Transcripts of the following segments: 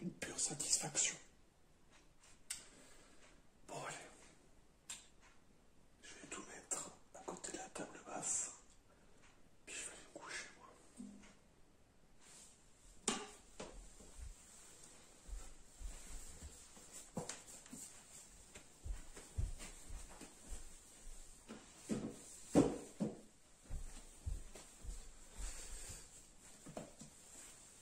Une pure satisfaction. Bon, allez. Je vais tout mettre à côté de la table basse. Puis je vais me coucher, moi.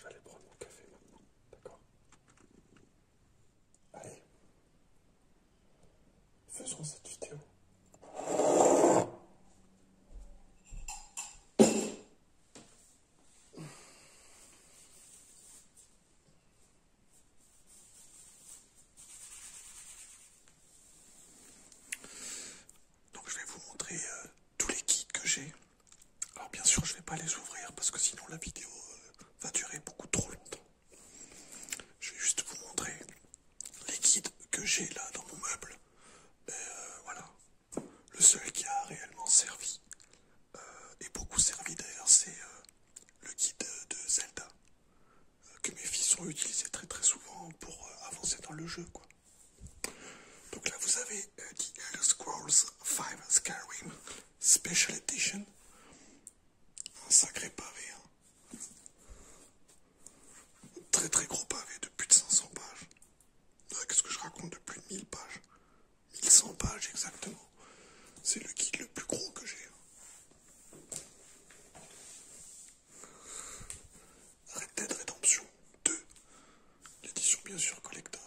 J'allais prendre mon café maintenant, d'accord Allez, faisons cette vidéo. Donc je vais vous montrer euh, tous les kits que j'ai. Alors bien sûr je ne vais pas les ouvrir parce que sinon la vidéo euh, va durer beaucoup trop longtemps. Je vais juste vous montrer les guides que j'ai là dans mon meuble. Euh, voilà, le seul qui a réellement servi euh, et beaucoup servi d'ailleurs, c'est euh, le guide de Zelda que mes fils ont utilisé très très souvent pour avancer dans le jeu Donc là vous avez The Elder Scrolls 5 Skyrim Special Edition. Un sacré pavé. Un hein. très très gros pavé de plus de 500 pages. Qu'est-ce que je raconte de plus de 1000 pages 1100 pages exactement. C'est le guide le plus gros que j'ai. Hein. Red Dead 2. L'édition bien sûr collector.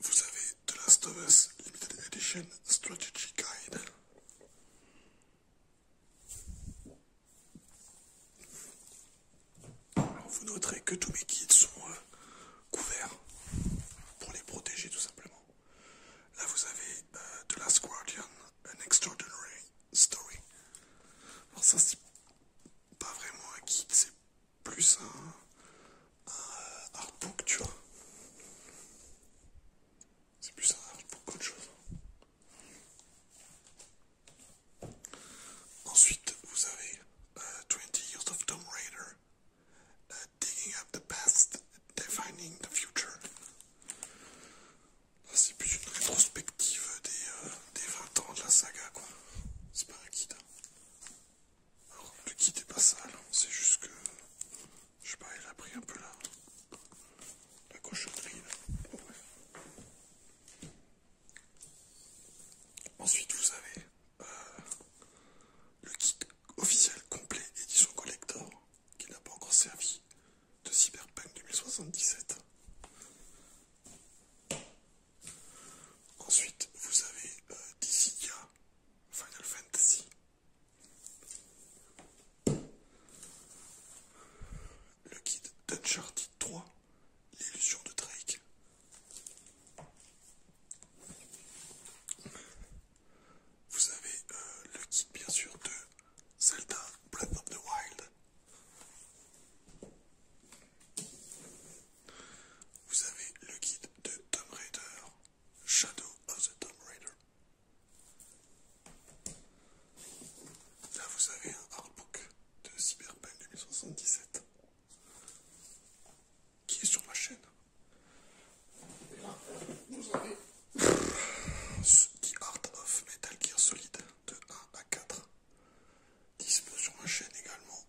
Vous avez The Last of Us Limited Edition Strategy Guide. vous noterez que tous mes kits sont euh, couverts pour les protéger tout simplement. Là vous avez euh, The Last Guardian An extraordinary story. Alors ça c'est pas vraiment un guide, c'est plus un, un artbook, tu vois. C'est plus un artbook qu'autre chose. Ensuite, vous avez uh, 20 Years of Tomb Raider, euh, Digging Up the Past, Defining the Future. Ah, c'est plus une rétrospective des, 20 euh, ans de la saga, quoi. C'est pas un kit. Hein. le kit est pas sale, hein. c'est juste que. Je sais pas, il a pris un peu la. la cochonnerie, là. Ensuite, vous avez euh, le kit officiel complet édition collector qui n'a pas encore servi de Cyberpunk 2077. Ensuite, vous avez euh, Final Fantasy. Le kit d'Uncharted 3, l'illusion de Drake. Vous avez euh, le kit bien sûr de Zelda Blood of the Wild. Vous avez le guide de Tomb Raider, Shadow of the Tomb Raider. Là, vous avez un artbook de Cyberpunk 2077 qui est sur ma chaîne. Et là, vous avez The Art of Metal Gear Solid de 1 à 4. Dispo sur ma chaîne également.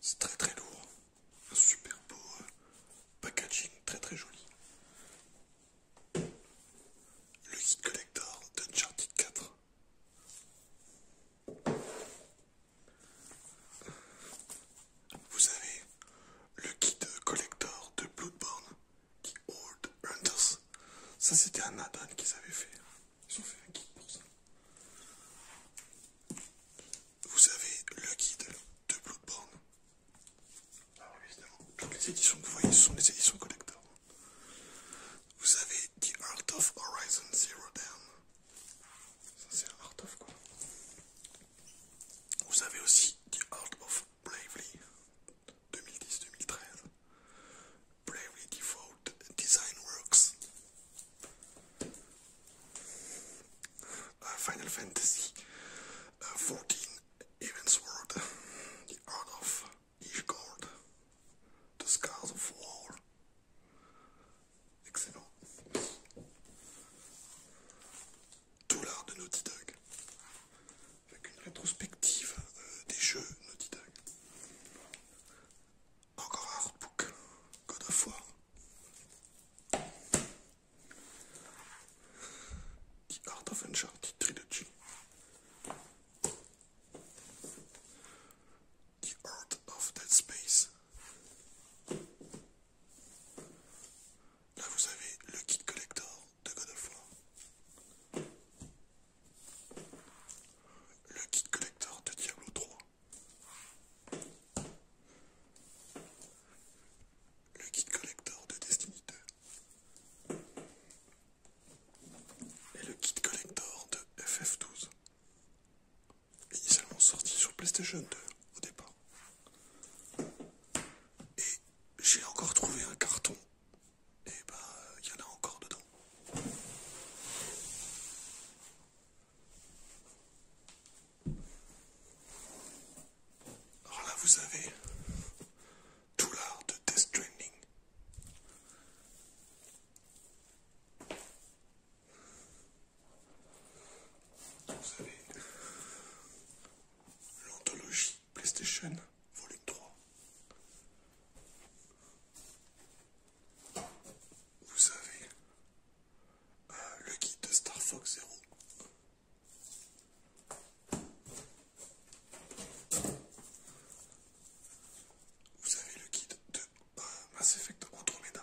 C'est très très lourd. Un super beau euh, packaging, très très joli. Le kit collector de Uncharted 4. Vous avez le kit collector de Bloodborne The Old Hunters. Ça, c'était un add-on qu'ils avaient fait. Ils ont fait un guide pour ça. Vous avez le guide de Bloodborne. Ah évidemment, toutes les éditions que vous voyez, sont des éditions collector. Vous avez The Art of Horizon Zero Dawn. Ça, c'est un Art of quoi Vous avez aussi The Art of Bravely 2010-2013. Prairie Default Design Works. Uh, Final Fantasy uh, 14 Evans World, The Art of Ishgard, The Scars of War, excellent. Tout l'art de Naughty avec une rétrospective euh, des jeux Naughty Dog. Encore un artbook, God of War. The Art of Uncharted Trilogy. The Art of Dead Space. Là vous avez le kit collector de God of War. Le kit collector de Diablo 3. Le kit collector de Destiny 2. Et le kit collector de FF12. Initialement sorti sur PlayStation 2 au départ. Et j'ai encore trouvé un carton et eh ben il y en a encore dedans. Alors là vous avez tout l'art de test training. Vous avez l'anthologie PlayStation volume 3. Euh, Vous avez le guide de Star Fox zéro. Vous avez le guide de Mass Effect Andromeda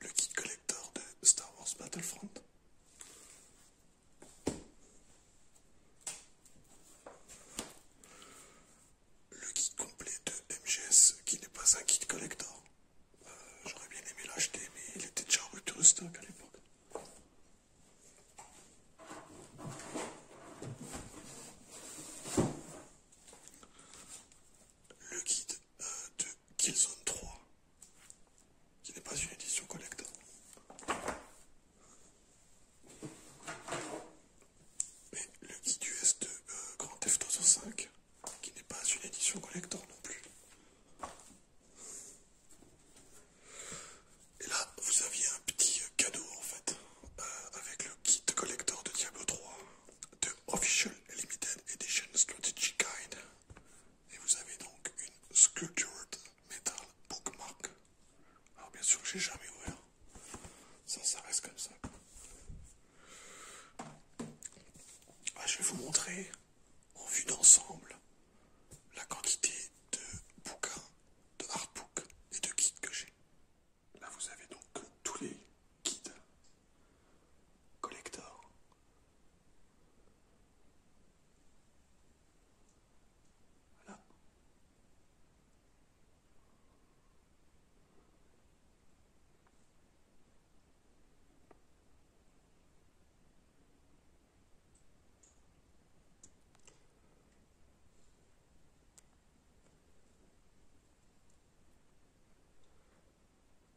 le kit collector de Star Wars Battlefront. Le kit complet de MGS qui n'est pas un kit collector. Euh, j'aurais bien aimé l'acheter mais il était déjà stock à l'époque le guide euh, de Killzone 3, qui n'est pas une édition collector Mais le guide US de euh, Grand Theft Auto 5, qui n'est pas une édition collector non plus. Et là, vous aviez un petit cadeau en fait, euh, avec le kit collector de Diablo 3 de Official Limited Edition Strategy Guide. Et vous avez donc une Sculptured Metal Bookmark. Alors bien sûr que j'ai jamais ouvert. Ça, ça reste comme ça. Ah, je vais vous montrer en vue d'ensemble la quantité de bouquins, de artbooks et de guides que j'ai. Là vous avez donc tous les guides collecteur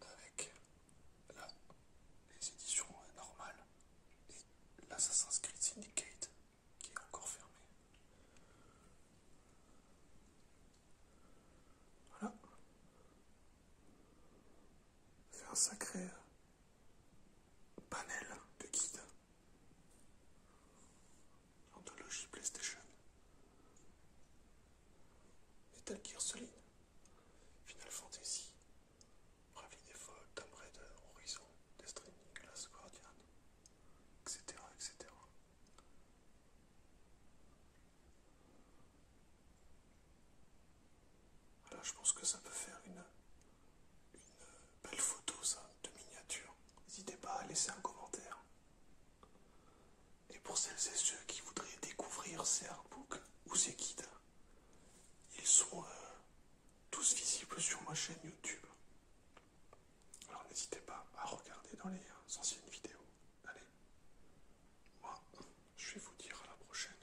avec les éditions normales et l'Assassin's Creed Syndicate qui est encore fermé. Voilà. C'est un sacré euh, panel de guides. Anthologie PlayStation. Metal Gear Solid. Final Fantasy, Ravi Default, Tomb Raider, Horizon, Destiny, Glass Guardian, etc. etc. Alors je pense que ça peut faire une, une belle photo, ça, de miniature. N'hésitez pas à laisser un commentaire. Et pour celles et ceux qui voudraient découvrir ces artbooks ou ces guides, ils sont euh, tous visibles sur ma chaîne YouTube. Alors n'hésitez pas à regarder dans les euh, anciennes vidéos. Allez, moi, je vais vous dire à la prochaine.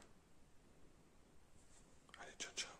Allez, ciao ciao